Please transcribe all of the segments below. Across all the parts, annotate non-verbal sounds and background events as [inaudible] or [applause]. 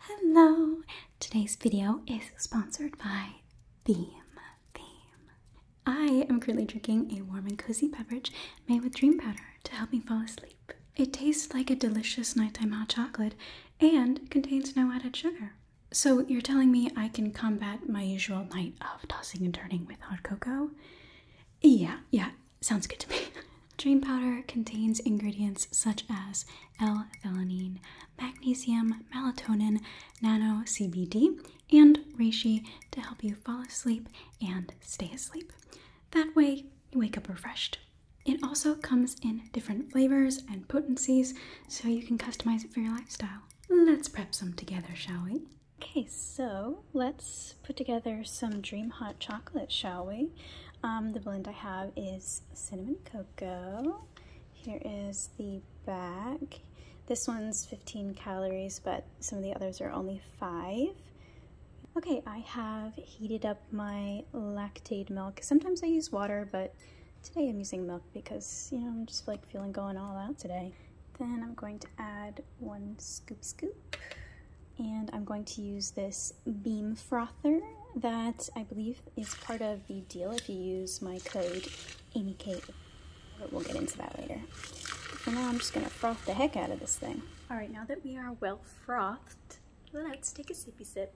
Hello! Today's video is sponsored by Theme. Theme. I am currently drinking a warm and cozy beverage made with dream powder to help me fall asleep. It tastes like a delicious nighttime hot chocolate and contains no added sugar. So, you're telling me I can combat my usual night of tossing and turning with hot cocoa? Yeah, yeah, sounds good to me. [laughs] Dream powder contains ingredients such as L-thelanine, magnesium, melatonin, nano CBD, and reishi to help you fall asleep and stay asleep. That way, you wake up refreshed. It also comes in different flavors and potencies, so you can customize it for your lifestyle. Let's prep some together, shall we? Okay, so let's put together some Dream Hot Chocolate, shall we? Um, the blend I have is cinnamon cocoa Go Here is the back. This one's 15 calories, but some of the others are only five. Okay, I have heated up my lactate milk. Sometimes I use water, but today I'm using milk because, you know, I'm just like feeling going all out today. Then I'm going to add one scoop scoop, and I'm going to use this beam frother that I believe is part of the deal if you use my code AmyKate. But we'll get into that later. For now, I'm just gonna froth the heck out of this thing. All right, now that we are well frothed, let's take a sippy sip.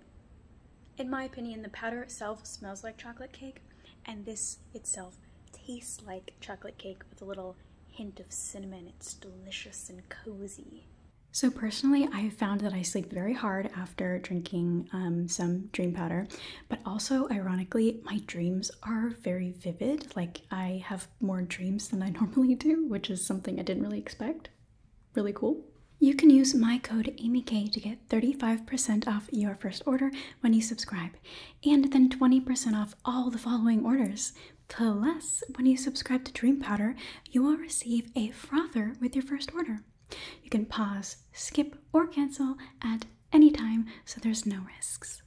In my opinion, the powder itself smells like chocolate cake, and this itself tastes like chocolate cake with a little hint of cinnamon. It's delicious and cozy. So, personally, I have found that I sleep very hard after drinking um, some dream powder, but also, ironically, my dreams are very vivid. Like, I have more dreams than I [laughs] normally do, which is something I didn't really expect. Really cool. You can use my code AmyK to get 35% off your first order when you subscribe, and then 20% off all the following orders. Plus, when you subscribe to Dream Powder, you will receive a frother with your first order. You can pause, skip, or cancel at any time, so there's no risks.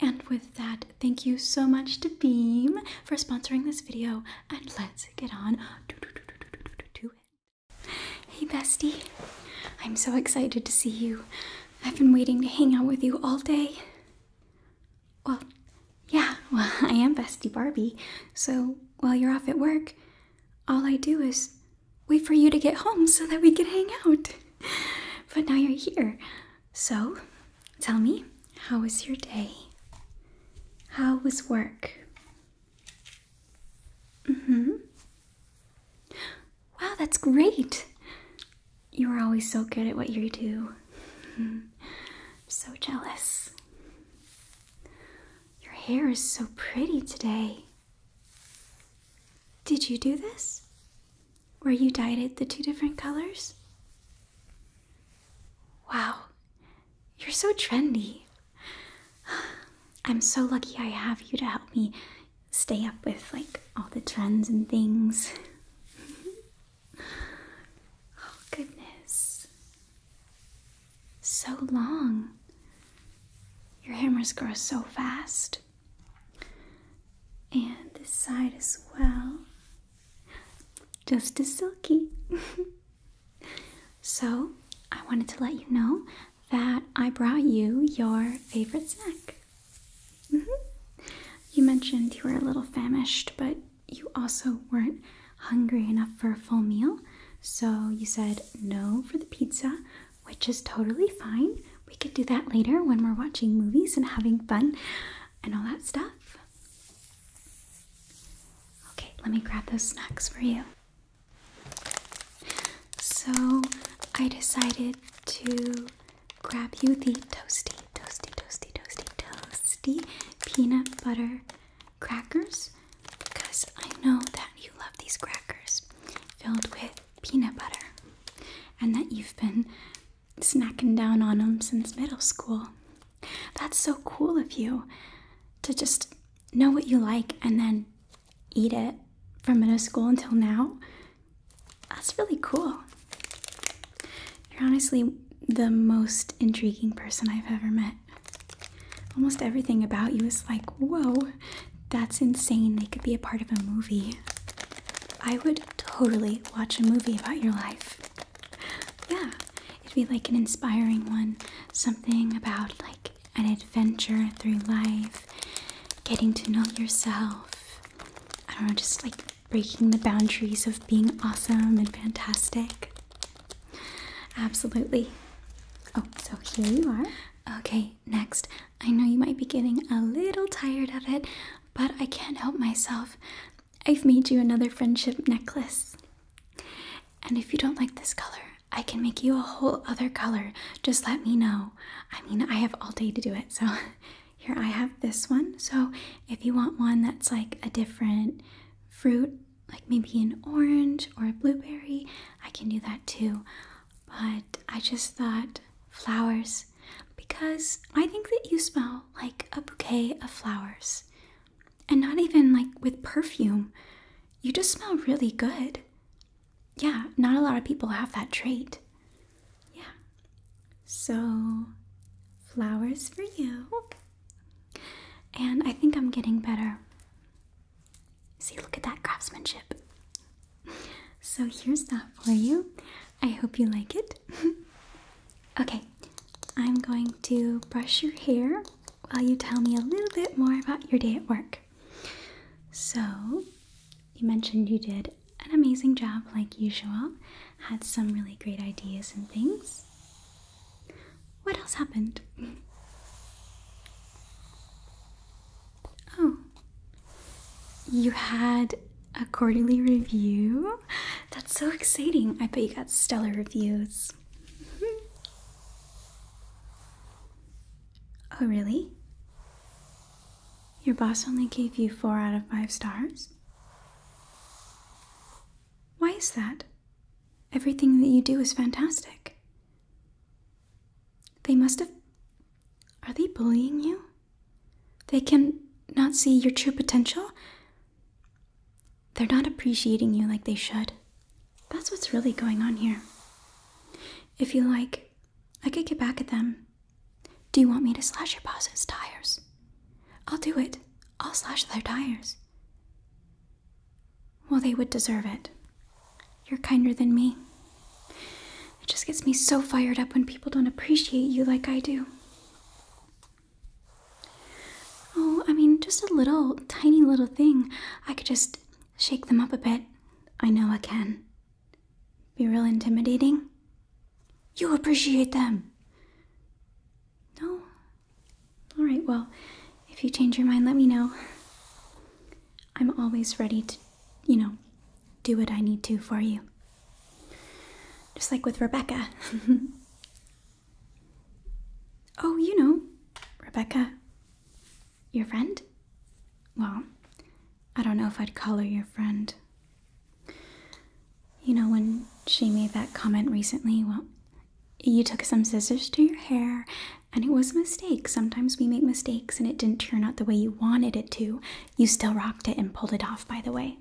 And with that, thank you so much to Beam for sponsoring this video, and let's get on Hey, bestie. I'm so excited to see you. I've been waiting to hang out with you all day. Well, yeah, well, [laughs] I am Bestie Barbie, so while you're off at work, all I do is wait for you to get home so that we can hang out. [laughs] But now you're here. So, tell me, how was your day? How was work? Mm hmm. Wow, that's great! You are always so good at what you do. I'm [laughs] so jealous. Your hair is so pretty today. Did you do this? Where you dyed it the two different colors? Wow, you're so trendy. I'm so lucky I have you to help me stay up with like all the trends and things. [laughs] Oh, goodness. So long. Your hammers grow so fast. And this side as well. Just as silky. [laughs] so, I wanted to let you know that I brought you your favorite snack. Mm-hmm. You mentioned you were a little famished, but you also weren't hungry enough for a full meal, so you said no for the pizza, which is totally fine. We could do that later when we're watching movies and having fun and all that stuff. Okay, let me grab those snacks for you. So, I decided to grab you the toasty, toasty, toasty, toasty, toasty peanut butter crackers because I know that you love these crackers filled with peanut butter and that you've been snacking down on them since middle school. That's so cool of you to just know what you like and then eat it from middle school until now. That's really cool. You're honestly the most intriguing person I've ever met. Almost everything about you is like, whoa, that's insane. They could be a part of a movie. I would totally watch a movie about your life. Yeah, it'd be like an inspiring one. Something about like an adventure through life, getting to know yourself. I don't know, just like breaking the boundaries of being awesome and fantastic. Absolutely. Oh, so here you are. Okay, next. I know you might be getting a little tired of it, but I can't help myself. I've made you another friendship necklace. And if you don't like this color, I can make you a whole other color. Just let me know. I mean, I have all day to do it. So [laughs] here I have this one. So if you want one that's like a different fruit like maybe an orange or a blueberry, I can do that too. But I just thought flowers because I think that you smell like a bouquet of flowers. And not even like with perfume, you just smell really good. Yeah, not a lot of people have that trait. Yeah. So, flowers for you. And I think I'm getting better. See, look at that craftsmanship. So here's that for you. I hope you like it. [laughs] okay, I'm going to brush your hair while you tell me a little bit more about your day at work. So, you mentioned you did an amazing job like usual, had some really great ideas and things. What else happened? Oh, you had a quarterly review? That's so exciting. I bet you got stellar reviews. [laughs] oh, really? Your boss only gave you four out of five stars? Why is that? Everything that you do is fantastic. They must have. Are they bullying you? They can not see your true potential? They're not appreciating you like they should. That's what's really going on here. If you like, I could get back at them. Do you want me to slash your boss's tires? I'll do it. I'll slash their tires. Well, they would deserve it. You're kinder than me. It just gets me so fired up when people don't appreciate you like I do. Oh, I mean, just a little, tiny little thing. I could just shake them up a bit. I know I can. Be real intimidating. You appreciate them. No, all right, well, if you change your mind, let me know. I'm always ready to, you know, do what I need to for you. Just like with Rebecca. [laughs] oh, you know, Rebecca, your friend? Well, I don't know if I'd call her your friend. You know, when she made that comment recently, well, you took some scissors to your hair, and it was a mistake. Sometimes we make mistakes and it didn't turn out the way you wanted it to. You still rocked it and pulled it off, by the way.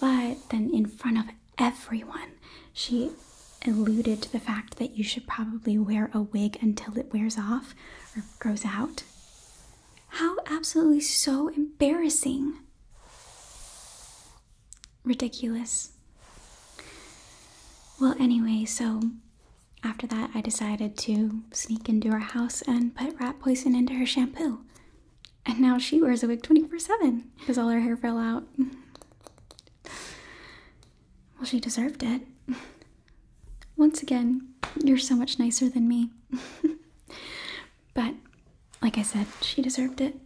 But then, in front of everyone, she alluded to the fact that you should probably wear a wig until it wears off or grows out. How absolutely so embarrassing! ridiculous. Well, anyway, so after that, I decided to sneak into her house and put rat poison into her shampoo. And now she wears a wig 24 7 because all her hair fell out. well, she deserved it. Once again, you're so much nicer than me. [laughs] But like I said, she deserved it.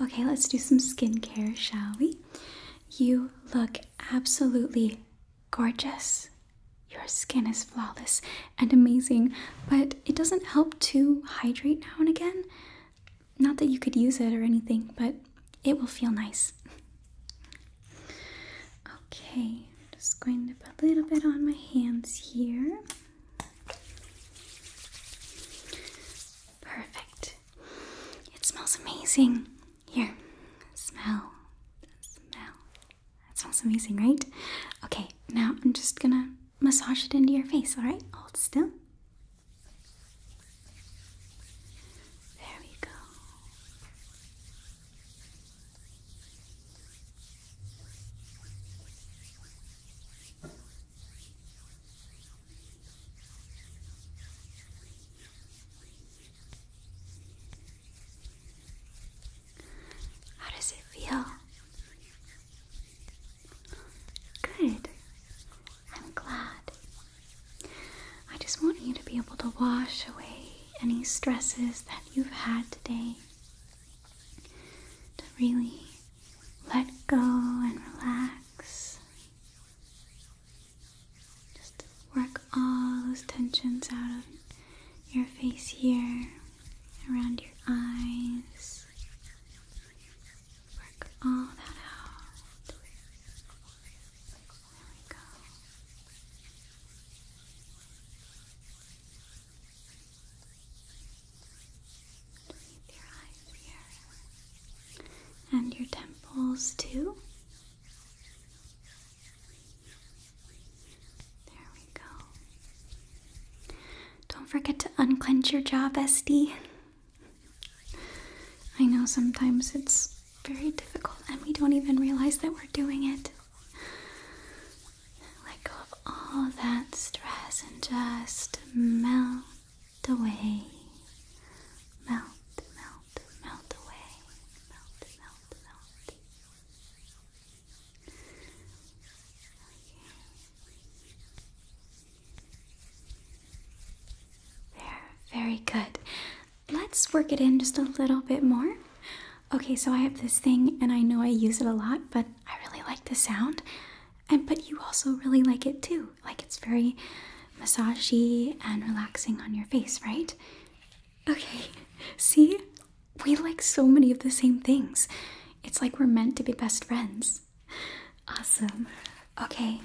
Okay, let's do some skincare, shall we? You look absolutely gorgeous. Your skin is flawless and amazing, but it doesn't help to hydrate now and again. Not that you could use it or anything, but it will feel nice. Okay, I'm just going to put a little bit on my hands here. Perfect. It smells amazing. Here, smell, smell. That smells amazing, right? Okay, now I'm just gonna massage it into your face, alright? Hold still. There we go. How does it feel? Good. I'm glad. I just want you to be able to wash away any stresses that you've had today to really let go and relax. Just work all those tensions out of your face here, around your eyes. Work all that out. And your temples too. There we go. Don't forget to unclench your jaw, bestie. I know sometimes it's very difficult and we don't even realize that we're doing it. Let go of all that stress and just melt away. Melt, melt, melt away. Melt, melt, melt. Okay. There, very good. Let's work it in just a little bit more. Okay, so I have this thing and I know I use it a lot, but I really like the sound and but you also really like it too. Like it's very massagey and relaxing on your face, right? Okay. [laughs] See? We like so many of the same things. It's like we're meant to be best friends. Awesome. Okay.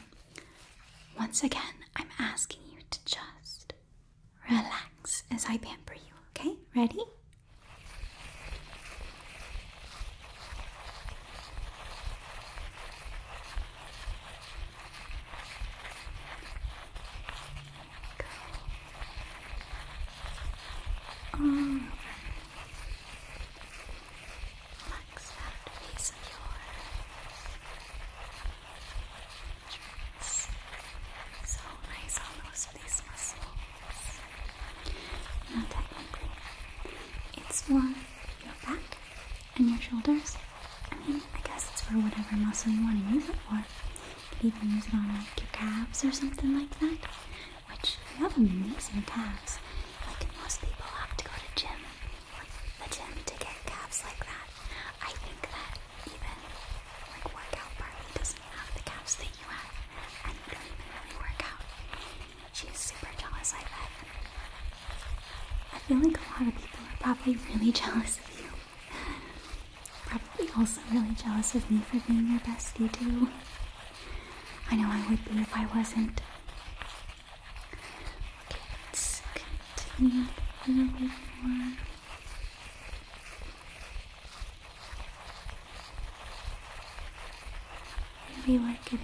Once again, I'm asking you to just relax as I pamper you, okay? Ready? Mm. Um, Relax that piece of your dress. So nice it's for your back and your shoulders. I mean, I guess it's for whatever muscle you want to use it for. You could even use it on like your calves or something like that. Which you have amazing calves. Like most people have to go to gym, like the gym to get calves like that. I think that even like workout partly doesn't have the calves that you have, and you don't even really work She's super jealous, I bet. I feel like a lot of people are probably really [laughs] jealous of you. Probably also really jealous of me for being your bestie, too. I know I would be if I wasn't. Okay, let's continue a little bit more. Maybe work it in.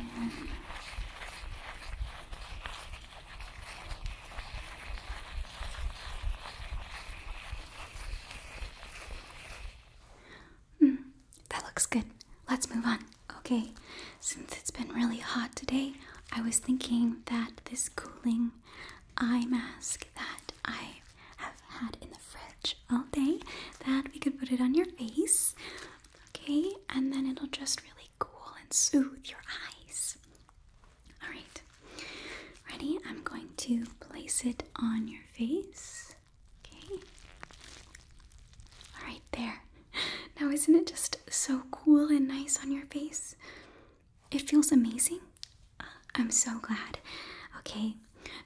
Mm, that looks good. Let's move on. Okay, since it's been really hot today, I was thinking that this cooling eye mask that I have had in the fridge all day that we could put it on your face, okay? And then it'll just really cool and soothe your eyes. All right, ready? I'm going to place it on your face, okay? All right, there. Now, isn't it just so cool and nice on your face? It feels amazing. Uh, I'm so glad. Okay,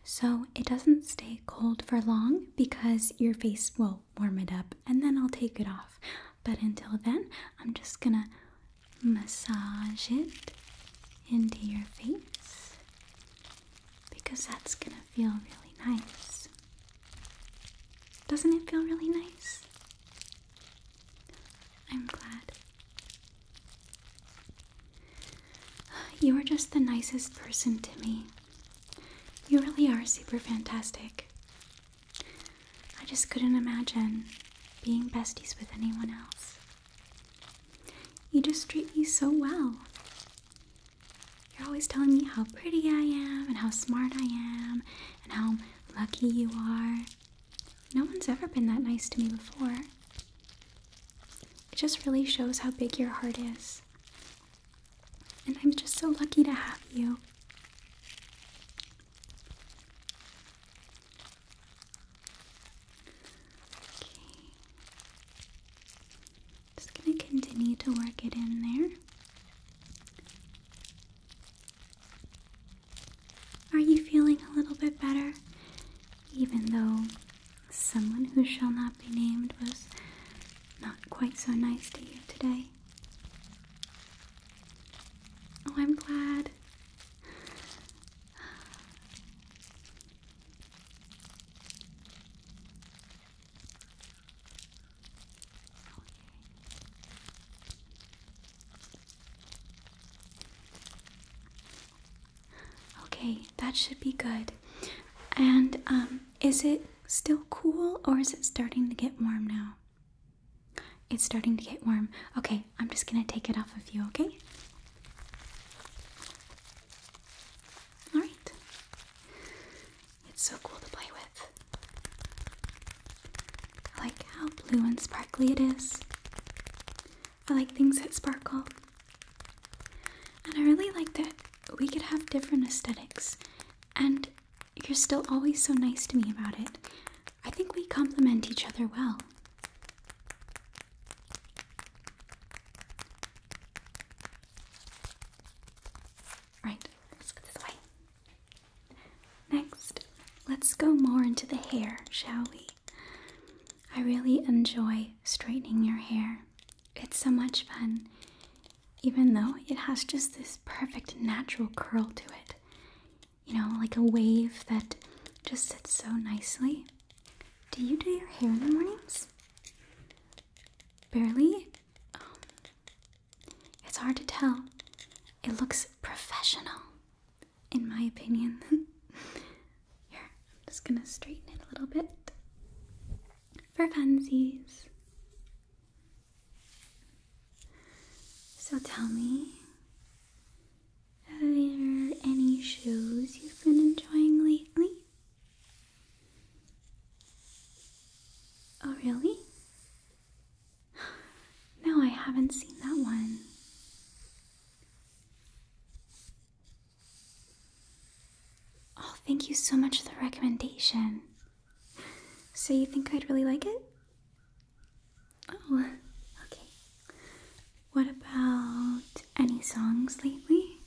so it doesn't stay cold for long because your face will warm it up and then I'll take it off. But until then, I'm just gonna massage it into your face because that's gonna feel really nice. Doesn't it feel really nice? I'm glad. You are just the nicest person to me. You really are super fantastic. I just couldn't imagine being besties with anyone else. You just treat me so well. You're always telling me how pretty I am, and how smart I am, and how lucky you are. No one's ever been that nice to me before. It just really shows how big your heart is. And I'm just so lucky to have you. Just going to continue to work it in there. Are you feeling a little bit better? Even though Someone who shall not be named was not quite so nice to you today. Oh, I'm glad. Okay, that should be good. And um, is it still cool or is it starting to get warm now? It's starting to get warm. Okay, I'm just gonna take it off of you, okay? Alright. It's so cool to play with. like how blue and sparkly it is. I like things that sparkle. And I really like that we could have different aesthetics, and you're still always so nice to me about it. I think we complement each other well. Right, let's go this way. Next, let's go more into the hair, shall we? I really enjoy straightening your hair. It's so much fun, even though it has just this perfect natural curl to it. You know, like a wave that just sits so nicely. Do you do your hair in the mornings? Barely? Oh. it's hard to tell. It looks professional, in my opinion. [laughs] Here, I'm just gonna straighten it a little bit for funsies. So tell me, are there any shows you've been enjoying lately? Oh, really? [sighs] No, I haven't seen that one. Oh, thank you so much for the recommendation. So, you think I'd really like it? Oh, okay. What about any songs lately?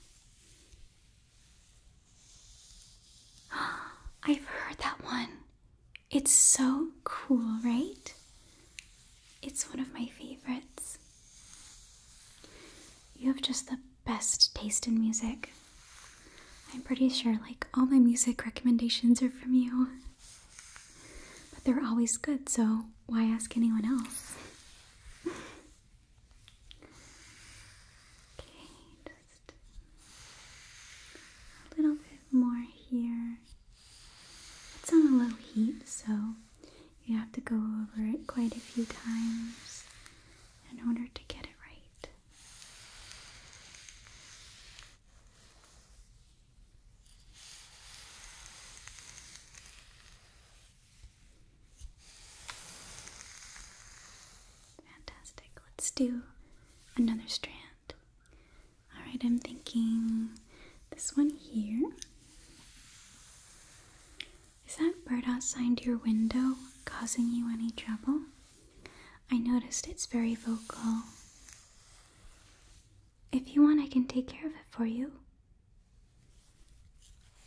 [gasps] I've heard that one. It's so cool, right? It's one of my favorites. You have just the best taste in music. I'm pretty sure, like, all my music recommendations are from you. But they're always good, so why ask anyone else? [laughs] okay, just a little bit more here. It's on a low heat, so you have to go over it quite a few times in order to get it right. Fantastic. Let's do another strand. Alright, I'm thinking this one here. Is that bird outside your window causing you any trouble? I noticed it's very vocal. If you want, I can take care of it for you.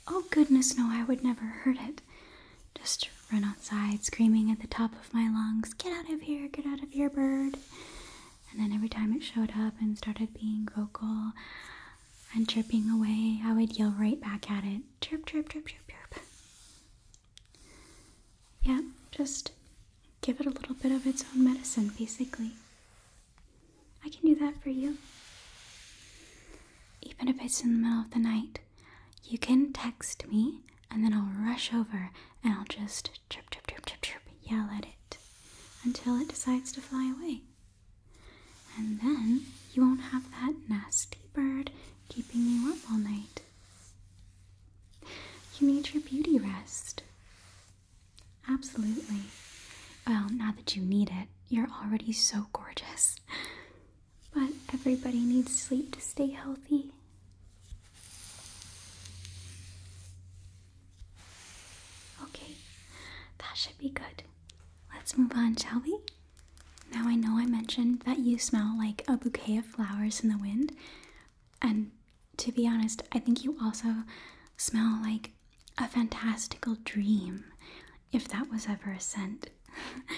Oh, goodness, no, I would never hurt it. Just run outside screaming at the top of my lungs, Get out of here, get out of here, bird. And then every time it showed up and started being vocal, and chirping away, I would yell right back at it chirp, chirp, chirp, chirp, chirp. Yeah, just give it a little bit of its own medicine, basically. I can do that for you. Even if it's in the middle of the night, you can text me and then I'll rush over and I'll just chirp, chirp, chirp, chirp, chirp, yell at it until it decides to fly away. And then you won't have that nasty bird keeping you up all night. You need your beauty rest. Absolutely. Well, now that you need it, you're already so gorgeous. But everybody needs sleep to stay healthy. Okay, that should be good. Let's move on, shall we? Now, I know I mentioned that you smell like a bouquet of flowers in the wind, and to be honest, I think you also smell like a fantastical dream, if that was ever a scent.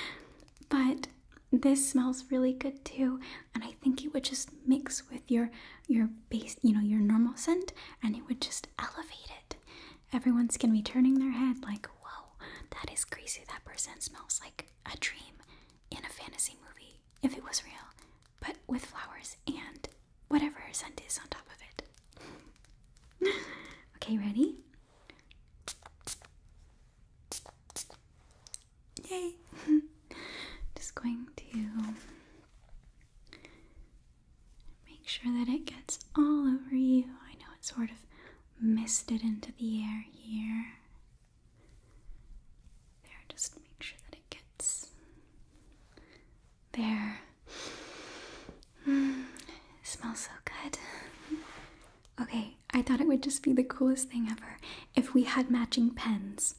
[laughs] but this smells really good too, and I think it would just mix with your your base, you know, your normal scent, and it would just elevate it. Everyone's gonna be turning their head like, whoa, that is crazy. That person smells like a dream in a fantasy movie if it was real, but with flowers and whatever scent is on top of it. [laughs] okay, ready? Yay! [laughs] Just going to Make sure that it gets all over you. I know it sort of misted into the air here. There, just make sure that it gets there. Mm, smells so good. Okay, I thought it would just be the coolest thing ever if we had matching pens.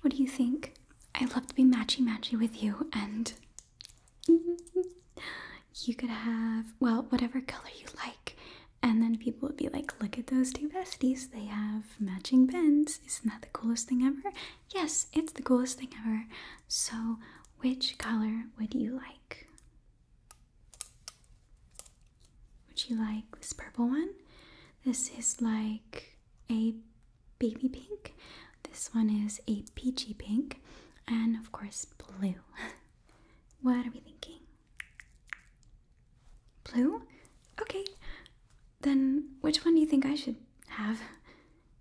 What do you think? I love to be matchy matchy with you, and you could have, well, whatever color you like. And then people would be like, look at those two besties. They have matching pens. Isn't that the coolest thing ever? Yes, it's the coolest thing ever. So, which color would you like? Would you like this purple one? This is like a baby pink. This one is a peachy pink. And of course, blue. [laughs] what are we thinking? Blue? Okay. Then which one do you think I should have?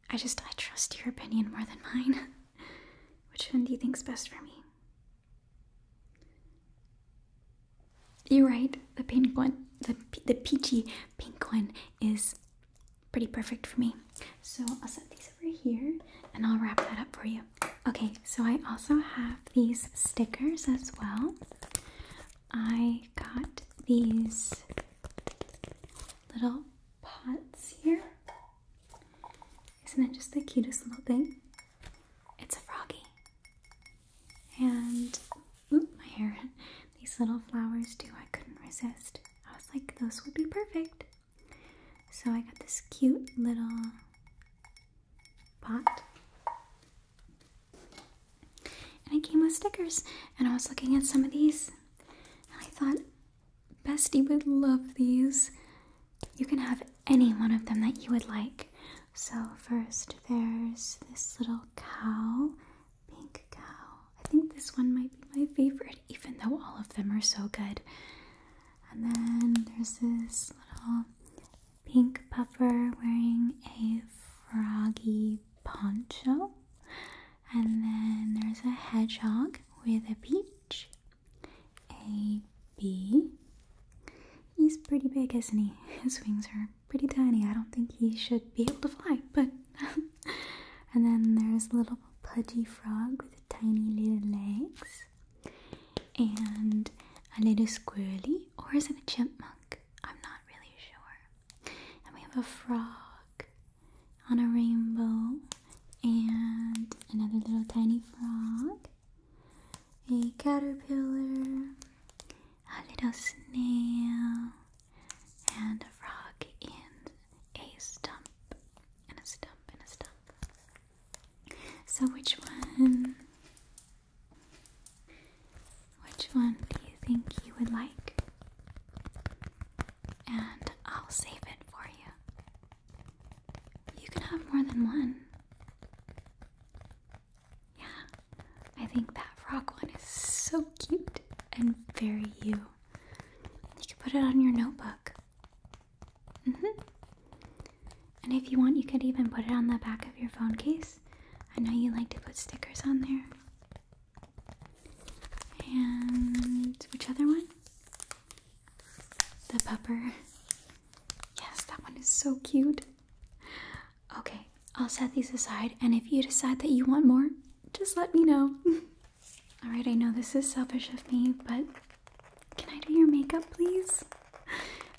I just, I trust your opinion more than mine. [laughs] which one do you think's best for me? You're right. The pink one, the the peachy pink one is pretty perfect for me. So I'll set these over here and I'll wrap that up for you. Okay, so I also have these stickers as well. I got these little pots here. Isn't it just the cutest little thing? It's a froggy. And ooh, my hair, [laughs] these little flowers too. I couldn't resist. I was like, those would be perfect. So I got this cute little pot. And it came with stickers. And I was looking at some of these. And I thought, Bestie would love these. You can have any one of them that you would like. So, first, there's this little cow. Pink Cow. I think this one might be my favorite, even though all of them are so good. And then there's this little pink puffer wearing a froggy poncho. And then there's a hedgehog with a peach, a bee. He's pretty big, isn't he? [laughs] His wings are pretty tiny. I don't think he should be able to fly, but. [laughs] and then there's a little pudgy frog with tiny little legs. And a little squirly, or is it a chipmunk? I'm not really sure. And we have a frog on a rainbow, and another little tiny frog, a caterpillar, a little snail, and a frog in a stump, and a stump, and a stump. So, which one? Which one do you think you would like? And I'll save it for you. You can have more than one. Yeah. I think that frog one is so cute and very you. You could put it on your notebook. hmm And if you want, you could even put it on the back of your phone case. I know you like to put stickers on there. And which other one? The pepper. Yes, that one is so cute. Okay, I'll set these aside, and if you decide that you want more, just let me know. [laughs] Alright, I know this is selfish of me, but can I do your makeup, please?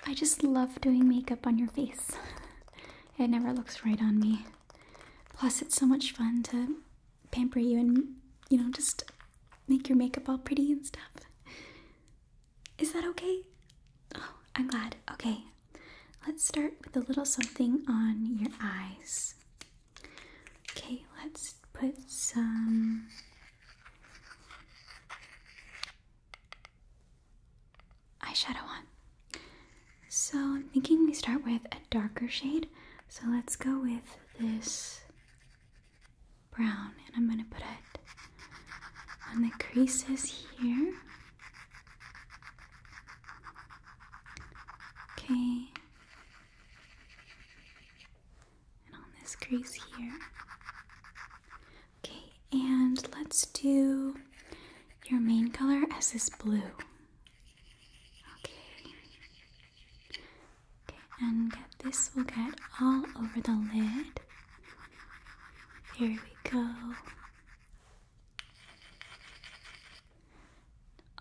I just love doing makeup on your face. [laughs] It never looks right on me. Plus, it's so much fun to pamper you and, you know, just make your makeup all pretty and stuff. Is that okay? Oh, I'm glad. Okay, let's start with a little something on your eyes. Okay, let's put some. Eyeshadow on. So I'm thinking we start with a darker shade. So let's go with this brown, and I'm gonna put it on the creases here Okay. And on this crease here. Okay, and let's do your main color as this blue. Okay. Okay, and get this will get all over the lid. Here we go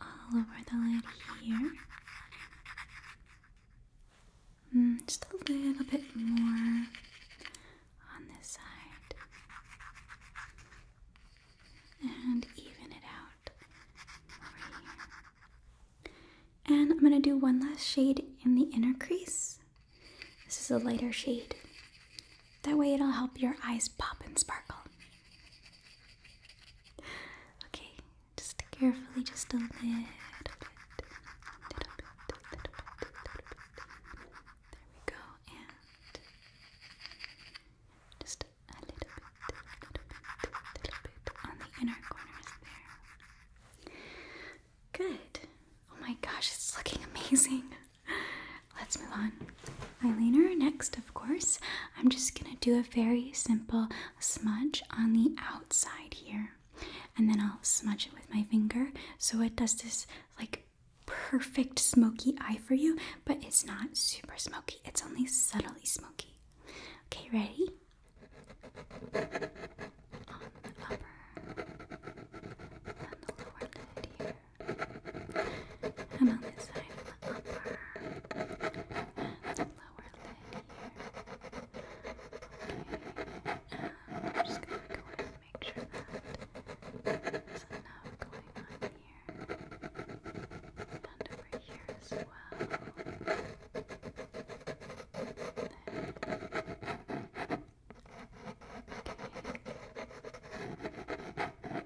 all over the lid here. Mm, just a little bit more on this side. And even it out And I'm going to do one last shade in the inner crease. This is a lighter shade. That way, it'll help your eyes pop and sparkle. Okay, just carefully, just a little bit. There we go, and just a little bit, little bit, little bit on the inner corners there. Good. Oh my gosh, it's looking [laughs] amazing. Let's move on. Eyeliner next, of course. I'm just gonna do a very simple smudge on the outside here, and then I'll smudge it with my finger so it does this like perfect smoky eye for you, but it's not super smoky, it's only subtly smoky. Okay, ready? and on this side of the upper and lower lid here. Okay, I'm just gonna go ahead and make sure that there's enough going on here and over here as well. Okay.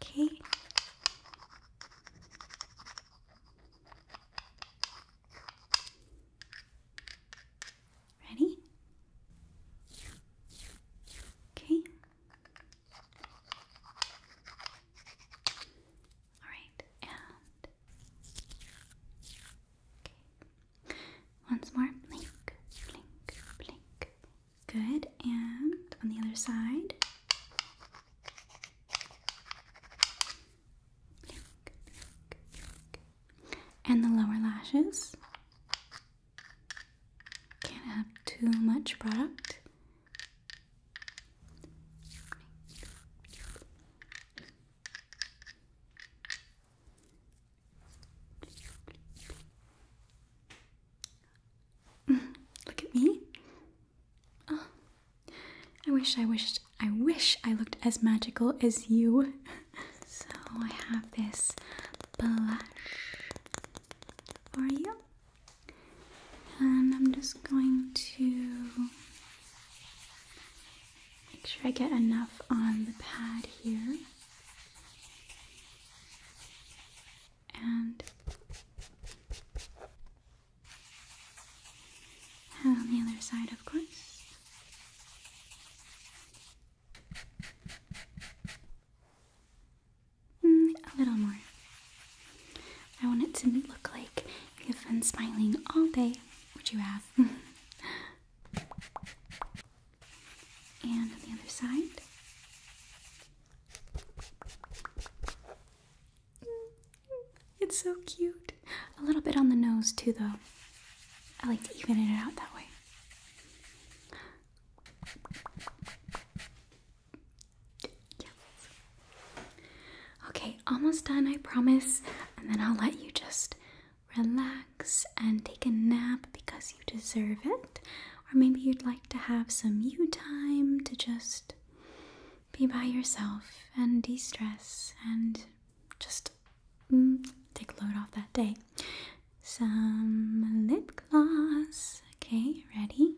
Okay. Ready? Okay. All right, and okay. Once more, blink, blink, blink, Good, and on the other side. And the lower lashes. Can't have too much product. Look at me. Ah. I wish I wished I wish I looked as magical as you. [laughs] so I have this blush for you. And I'm just going to make sure I get enough on the pad here and on the other side, of course. Mm, a little more. I want it to look like you've been smiling all day, Would you have. [laughs] and on the other side. It's so cute. A little bit on the nose, too, though. I like to even it out that way. Okay, almost done, I promise. And then I'll let you just relax and take a nap because you deserve it or maybe you'd like to have some you time to just be by yourself and de stress and just mm, take a load off that day. Some lip gloss. Okay, ready?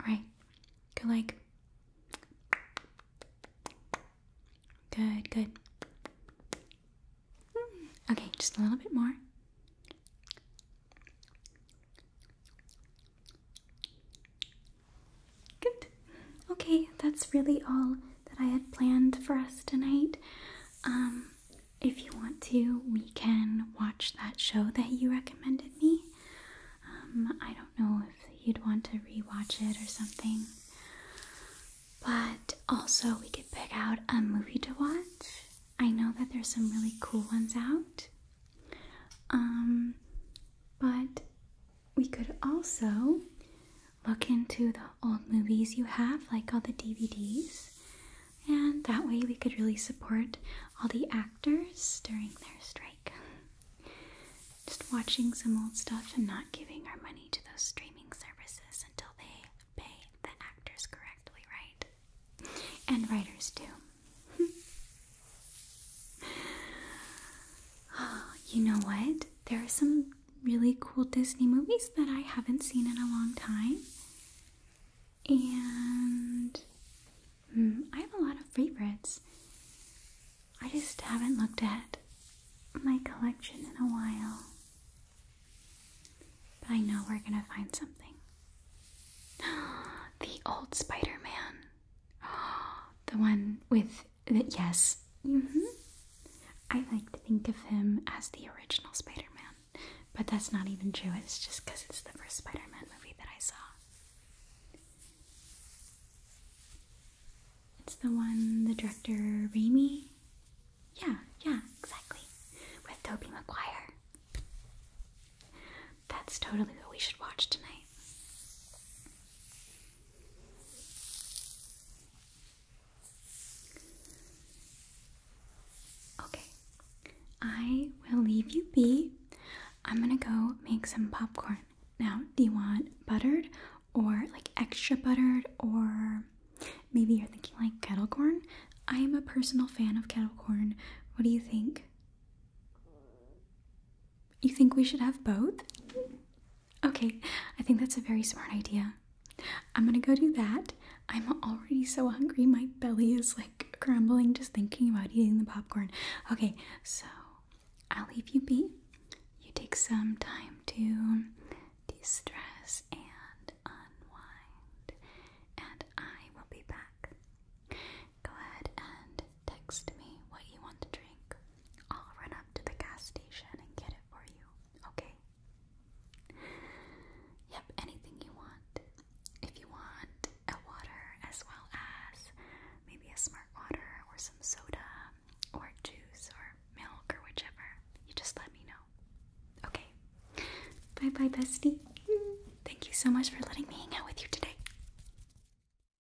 All right, Good like. Good, good. Okay, just a little bit more. Good. Okay, that's really all that I had planned for us tonight. Um, if you want to, we can watch that show that you recommended me. Um, I don't know if you'd want to rewatch it or something. But also, we could pick out a movie to watch. I know that there's some really cool ones out. Um, but we could also look into the old movies you have, like all the DVDs, and that way we could really support all the actors during their strike. Just watching some old stuff and not giving our money to those streaming services until they pay the actors correctly, right? And writers too. [laughs] [gasps] you know what? There are some really cool Disney movies that I haven't seen in a long time. And hmm, I have a lot of favorites. I just haven't looked at my collection in a while. But I know we're gonna find something. [gasps] the old Spider Man. [gasps] the one with yes. Mm -hmm. I like to think of him as the original Spider Man, but that's not even true. It's just because it's the first Spider Man movie that I saw. It's the one the director Remy. Yeah, yeah, exactly. With Tobey Maguire. That's totally what we should watch tonight. Okay, I will leave you be. I'm gonna go make some popcorn. Now, do you want buttered or like extra buttered, or maybe you're thinking like kettle corn? I am a personal fan of kettle corn. What do you think? You think we should have both? Okay, I think that's a very smart idea. I'm gonna go do that. I'm already so hungry, my belly is like crumbling just thinking about eating the popcorn. Okay, so I'll leave you be. You take some time to de stress and unwind, and I will be back. Go ahead and text me what you want to drink. I'll run up to the gas station and get it for you, okay? Yep, anything you want. If you want a water as well as maybe a smart water or some soda or juice or milk or whichever, you just let me know. Okay. Bye bye, bestie. Thank you so much for letting me hang out with you today.